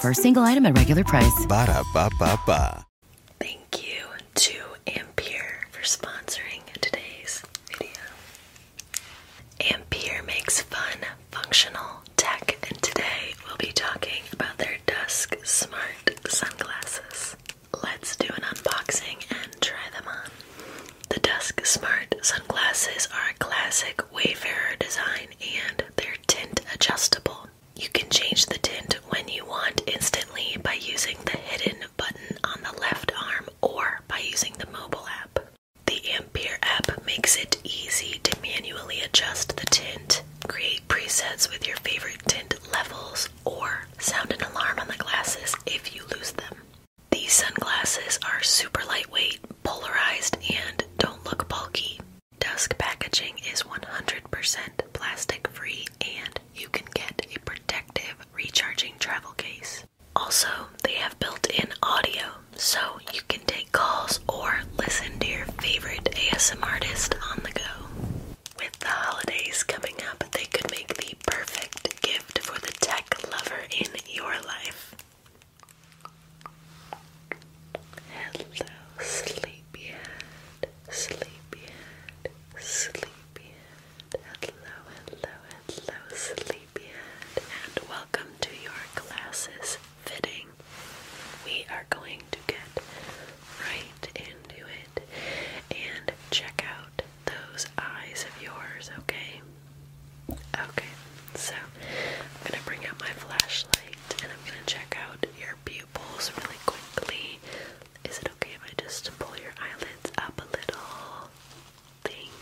For a single item at regular price. Thank you to Ampere for sponsoring today's video. Ampere makes fun, functional tech, and today we'll be talking about their Dusk Smart sunglasses. Let's do an unboxing and try them on. The Dusk Smart sunglasses are a classic Wayfarer design and they're tint adjustable. You can change the tint when you want instantly by using the hidden button on the left arm or by using the mobile app. The Ampere app makes it easy to manually adjust the tint, create presets with your favorite tint levels, or sound an alarm on the glasses if you lose them. These sunglasses are super lightweight, polarized, and don't look bulky. Dusk packaging is 100% plastic free and you can get a protective recharging travel case. Also, they have built in audio so you can take calls or listen to your favorite ASM artist on the go. With the holidays coming up, they could make the perfect gift for the tech lover in your life. Hello, sleepyhead, sleepyhead, sleepyhead. Hello, hello, hello, sleepyhead, and welcome to your glasses fitting. We are going to get right into it and check out those eyes of yours, okay? Okay, so I'm gonna bring out my flashlight and I'm gonna check out your pupils really quickly. Is it okay if I just pull your eyelids up a little? Thank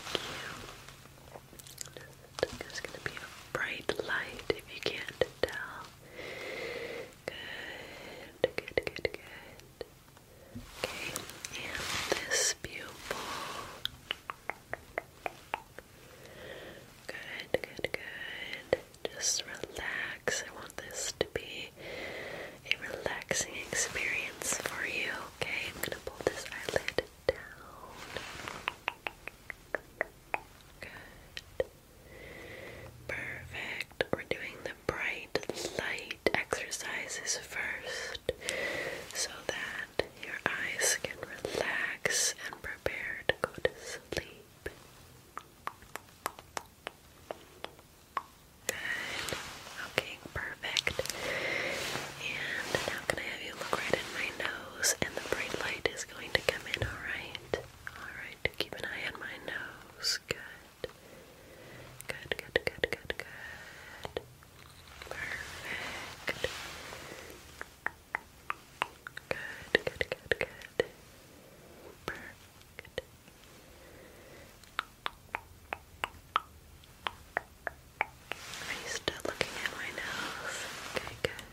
you. There's gonna be a bright light if you can't tell. Good, good, good, good. Okay, and this pupil. Good, good, good. Just relax. I want this to be a relaxing experience for you, okay? I'm gonna pull this eyelid down. Good. Perfect. We're doing the bright light exercises first so that your eyes can relax and prepare to go to sleep. Good. Okay, perfect. And now can I have you look right in my nose and the bright light is going to come in, alright? Alright, keep an eye on my nose. Good. Good, good, good, good, good. Perfect. Good, good, good, good. Perfect. Are you still looking at my nose? Okay, good.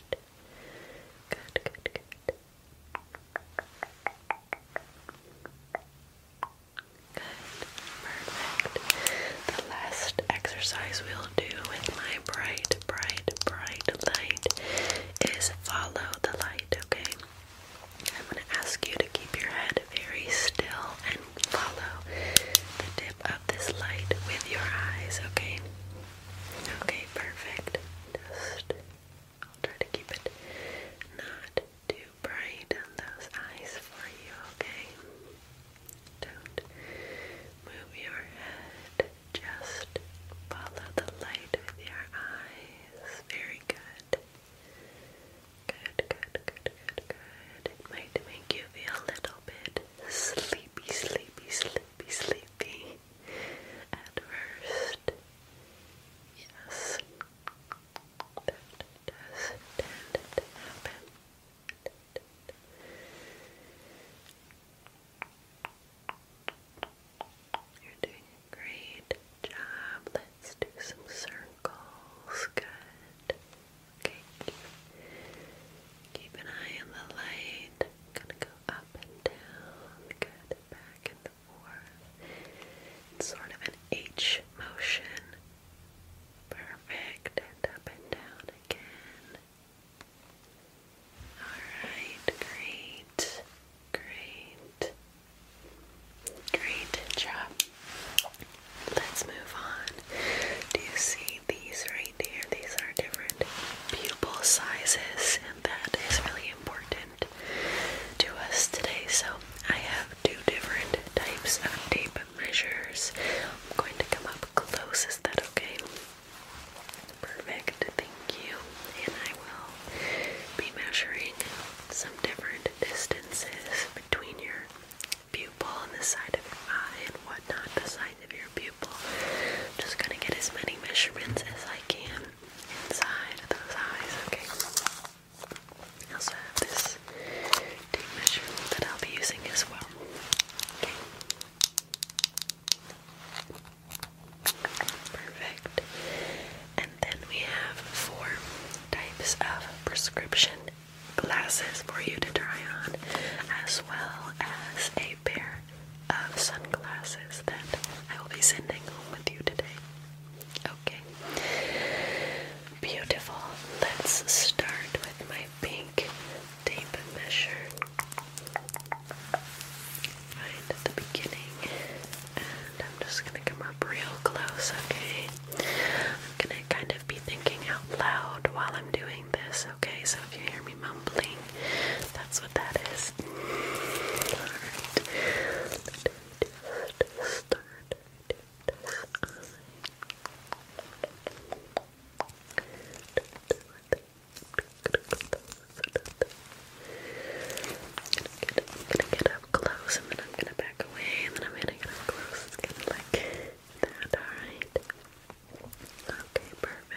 Good, good, good. Good, perfect. The last exercise will do with my bright, bright, bright light is follow the light, okay? I'm going to ask you to keep your head very still and follow the tip of this light with your eyes, okay? Okay, perfect. Just, I'll try to keep it not too bright in those eyes for you, okay? Don't move your head. Just follow the light with your eyes. Very good. Good, good, good, good, good. It might make you feel a little bit sleepy, sleepy, sleepy, sleepy at Yes. That does tend you're doing a great job. Let's do some circles. Good. Okay. Keep an eye on the light. gonna go up and down. Good. Back and forth. It's sort of an H motion. Perfect. And up and down again. Alright, great, great, great job. Let's move on. Do you see these right here? These are different pupil sizes, and that is really important to us today. So, I have two different types of tape measures. I'm going to come up close. Is that okay? Perfect, thank you. And I will be measuring some different distances between your pupil and the side of your eye and whatnot, the size of your pupil. just gonna get as many measurements as I can inside those eyes, okay? I have this tape measurement that I'll be using as well. Perfect. And then we have four types of prescription glasses for you to try on, as well as a pair of sunglasses that I will be sending home with you today. Okay. Beautiful. Let's start with my pink tape measure right at the beginning and I'm just gonna come up real close, okay? I'm gonna kind of be thinking out loud while I'm doing this, okay? So if you hear me mumbling, that's what that is. start gonna get up close and then I'm gonna back away and then I'm gonna get up close. It's kind of like that, alright? Okay, perfect.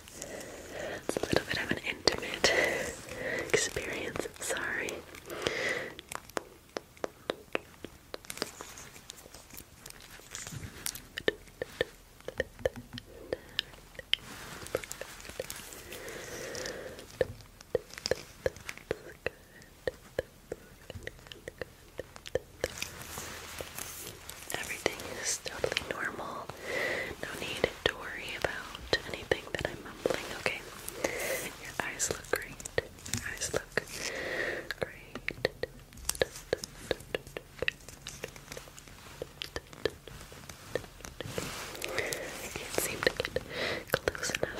It's a little bit of an intimate experience, sorry. Everything is is totally normal. No need to worry about anything that I'm mumbling, okay? eyes look great. eyes look great. can't seem to get close enough.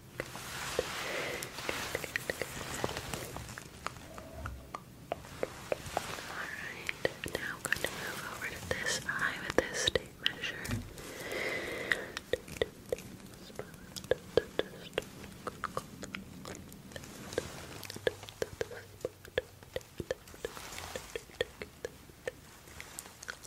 Good. Good, Alright, now going to move over to this eye with this tape measure.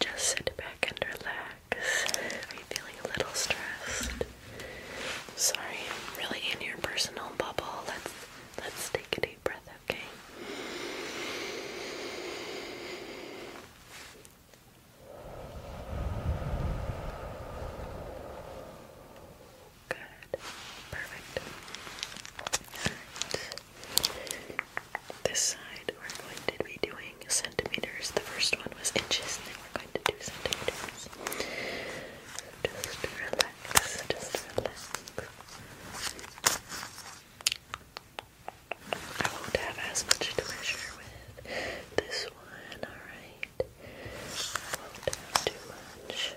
Just sit back and relax. Are you feeling a little stressed? Sorry, I'm really in your personal bubble. Let's let's take a deep breath, okay? Good. Perfect. All right. This side, we're going to be doing centimeters. The first one was inches, and then we're going to do centimeters. Just relax, just relax. I won't have as much to with this one, alright? I won't have too much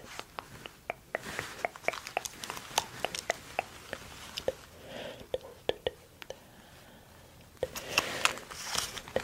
that. And there. There.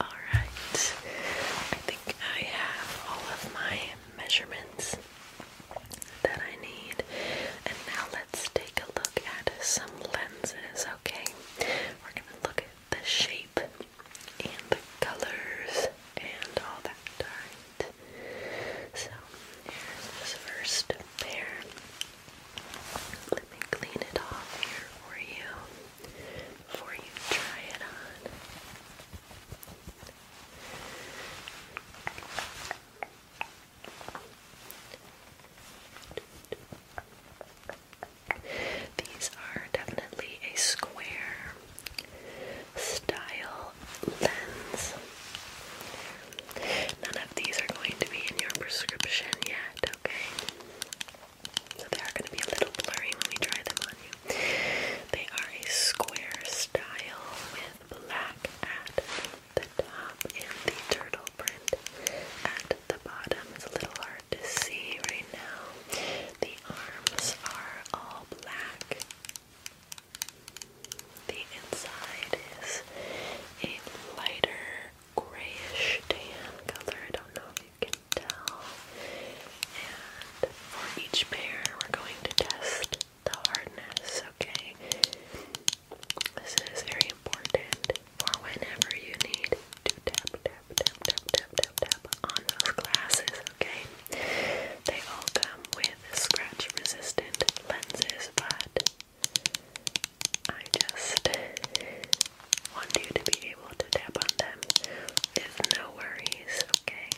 All right. I think I have all of my measurements that I need. And now let's take a look at some lenses, okay? We're gonna look at the shape and the colors and all that. Alright. So here's this first pair. Let me clean it off here for you before you try it on. These are definitely a square style lens. None of these are going to be in your prescription yet, okay? So they are going to be a little blurry when we try them on you. They are a square style with black at the top and the turtle print the bottom is a little hard to see right now. The arms are all black. The inside is a lighter grayish tan color. I don't know if you can tell. And for each pair, we're going to test the hardness, okay? This is very important for whenever you need to tap, tap, tap, tap, tap, tap, on those glasses, okay? They all come with scratch resistant lenses, but I just want you to be able to tap on them with no worries, okay?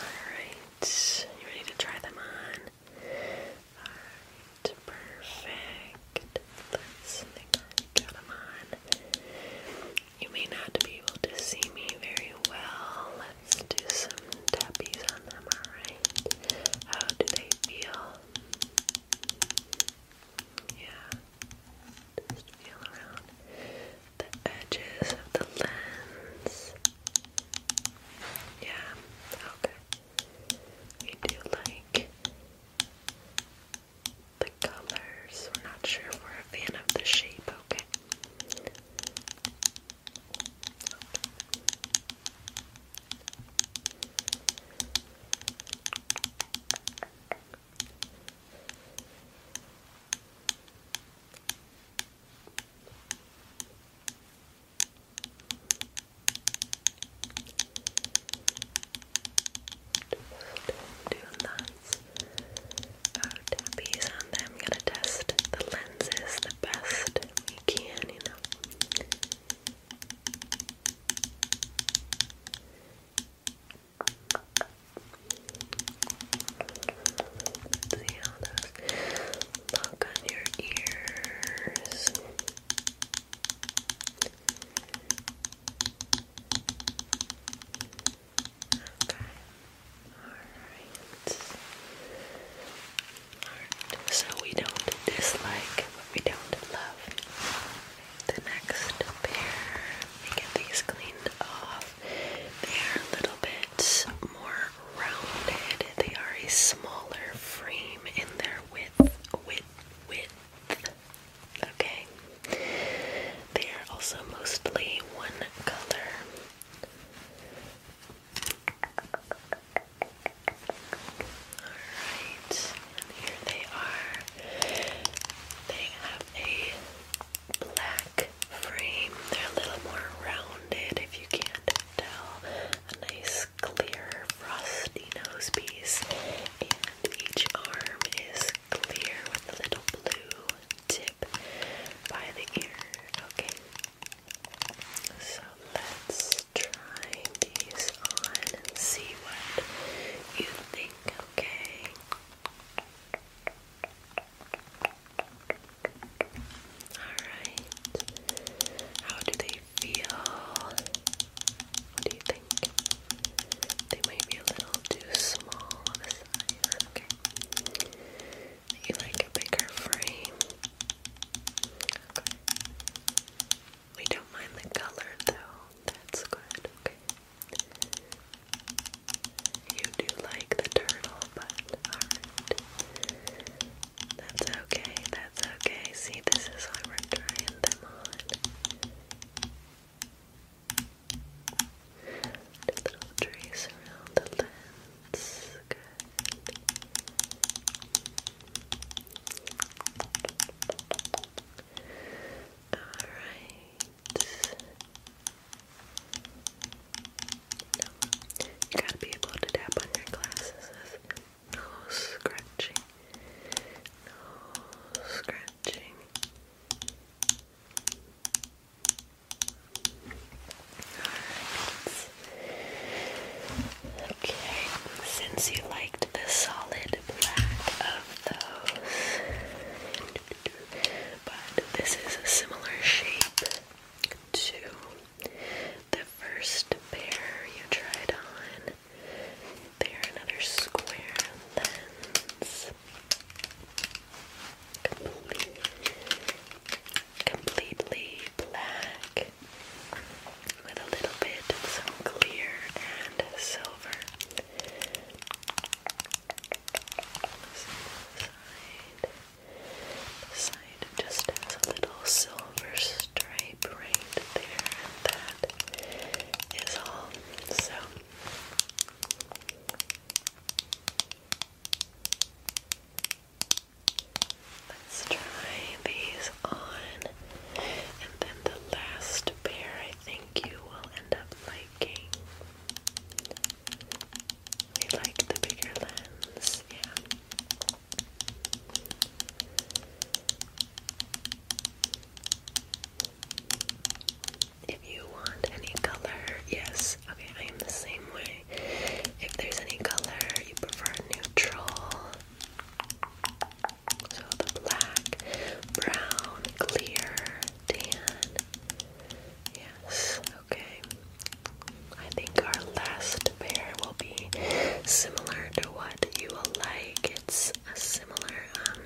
Alright, you ready to try them on? Alright, perfect. Let's get them on. You may not be able to see me very well. Let's do some tappies on them, alright? How do they feel? Yeah. Just feel around the edges of the lens. Yeah, okay. We do like the colors. We're not sure if we're a fan of the shape, Okay. Two lots of tappies on them. gonna test the lenses the best we can, you know. see how those look on your ears. Okay. Alright. Alright. So we don't dislike but we don't love. The next pair, we get these cleaned off. They are a little bit more rounded. They are a smaller frame in their with width width. Okay. They are also mostly one color. Alright, here they are. They have a black frame. They're a little more rounded if you can't tell. nice clear frosty nose piece, and each arm is clear with a little blue tip by the ear. Okay, so let's try these on and see what you think. Okay. All right. How do they you What do you think? They might be a little too small of a size. Okay. You like a bigger frame? We don't mind the color though. That's good. Okay. You do like the turtle, but alright. That's okay, that's okay. See, this is how we're trying them on. little trace around the lens. Good. Alright. You gotta be able to tap on your glasses no scratching. No scratching. Okay. Since you liked the solid black of those, but this is a similar shape to the first pair you tried on. They're another square lens. completely black with a little bit of some clear and silver. Side, side just has a little silver stripe tape there, and that is all. So. Let's try these on, and then the last pair I think you will end up liking. We like the bigger lens, yeah. If you want any color, yes, okay, I am the same way. If there's any color you prefer neutral, so the black, brown, clear, tan, yes, okay. I think our last pair will be similar to what what you will like. It's a similar, um,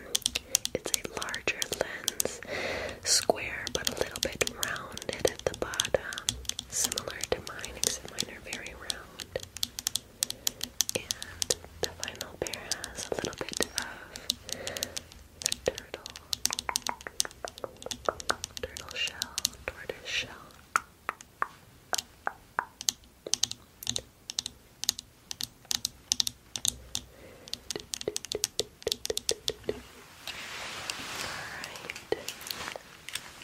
it's a larger lens, square but a little bit rounded at the bottom, similar to mine, except mine are very round. And the final pair has a little bit of the turtle, turtle shell, tortoise shell.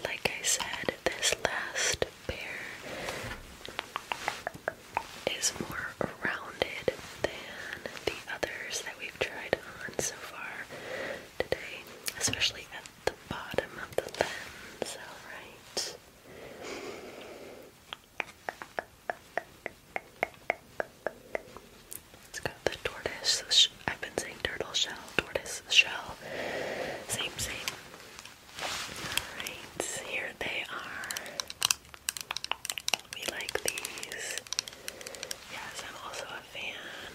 Like I said, this last pair is more rounded than the others that we've tried on so far today, especially the bottom of the lens, alright? It's got the tortoise, I've been saying turtle shell, tortoise shell, same, same. Alright, here they are. We like these. Yes, I'm also a fan.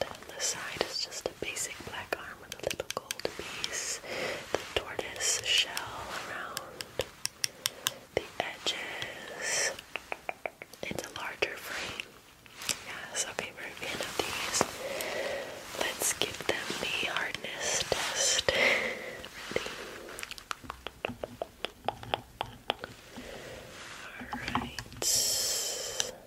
And on the side is just a basic black arm with a little the tortoise shell around the edges. It's a larger frame. Yes, okay, we're a fan of these. Let's give them the hardness test. Alright.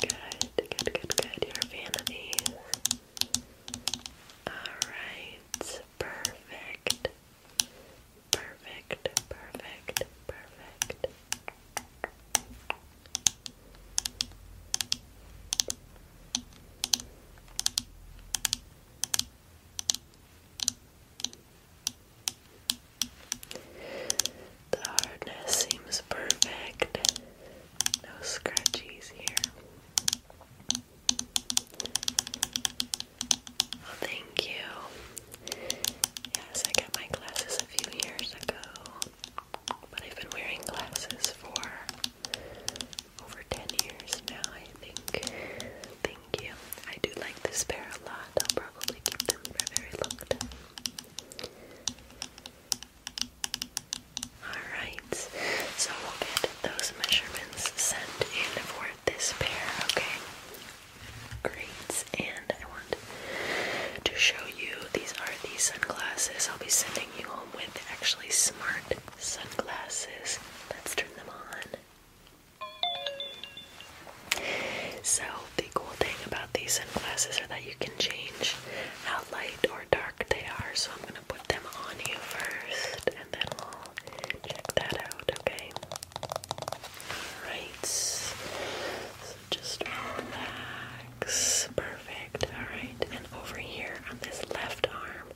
Good, good, good, good. You're Alright, perfect. Perfect, perfect, perfect. The hardness seems perfect. No scratchies here. thank you. Yes, I got my glasses a few years ago, but I've been wearing glasses for over 10 years now, I think thank you. I do like this pair a lot. I'll probably keep them for very long time. Alright, so we'll get those measurements sent in for this pair, okay? Great, and I want to show you these are these sunglasses I'll be sending you home with actually smart sunglasses. Let's turn them on. So, the cool thing about these sunglasses are that you can change how light or dark they are. So, I'm going to put them on you first and then we'll check that out, okay? Alright. So, just relax. Perfect. Alright. And over here on this left arm,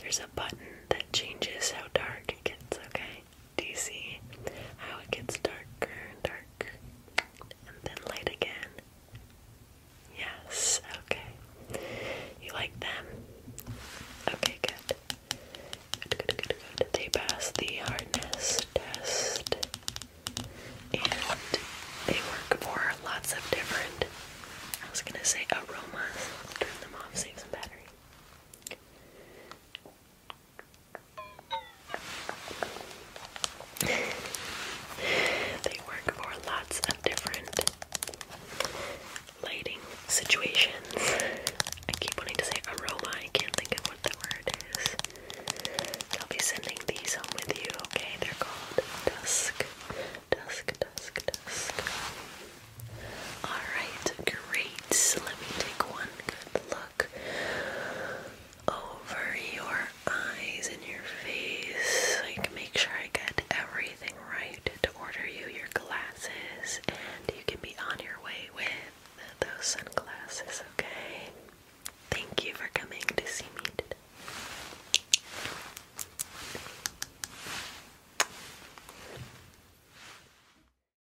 there's a button that changes how dark it gets, okay? Do you see how it gets darker and darker and then light again? Yes, okay. You like them? Okay, good. Good, good, good, They passed the hardness test and they work for lots of different, I was gonna say aromas. turn them off, save some battery they work for lots of different lighting situations. I keep wanting to say aroma, I can't think of what the word is. I'll be sending these home with you, okay? They're called Dusk. Dusk, dusk, dusk. Alright, great. Let me take one good look over your eyes and your face. Like, make sure I get everything right to order you your glasses, and you can be on your way with those sunglasses, okay? Thank you for coming to see me today.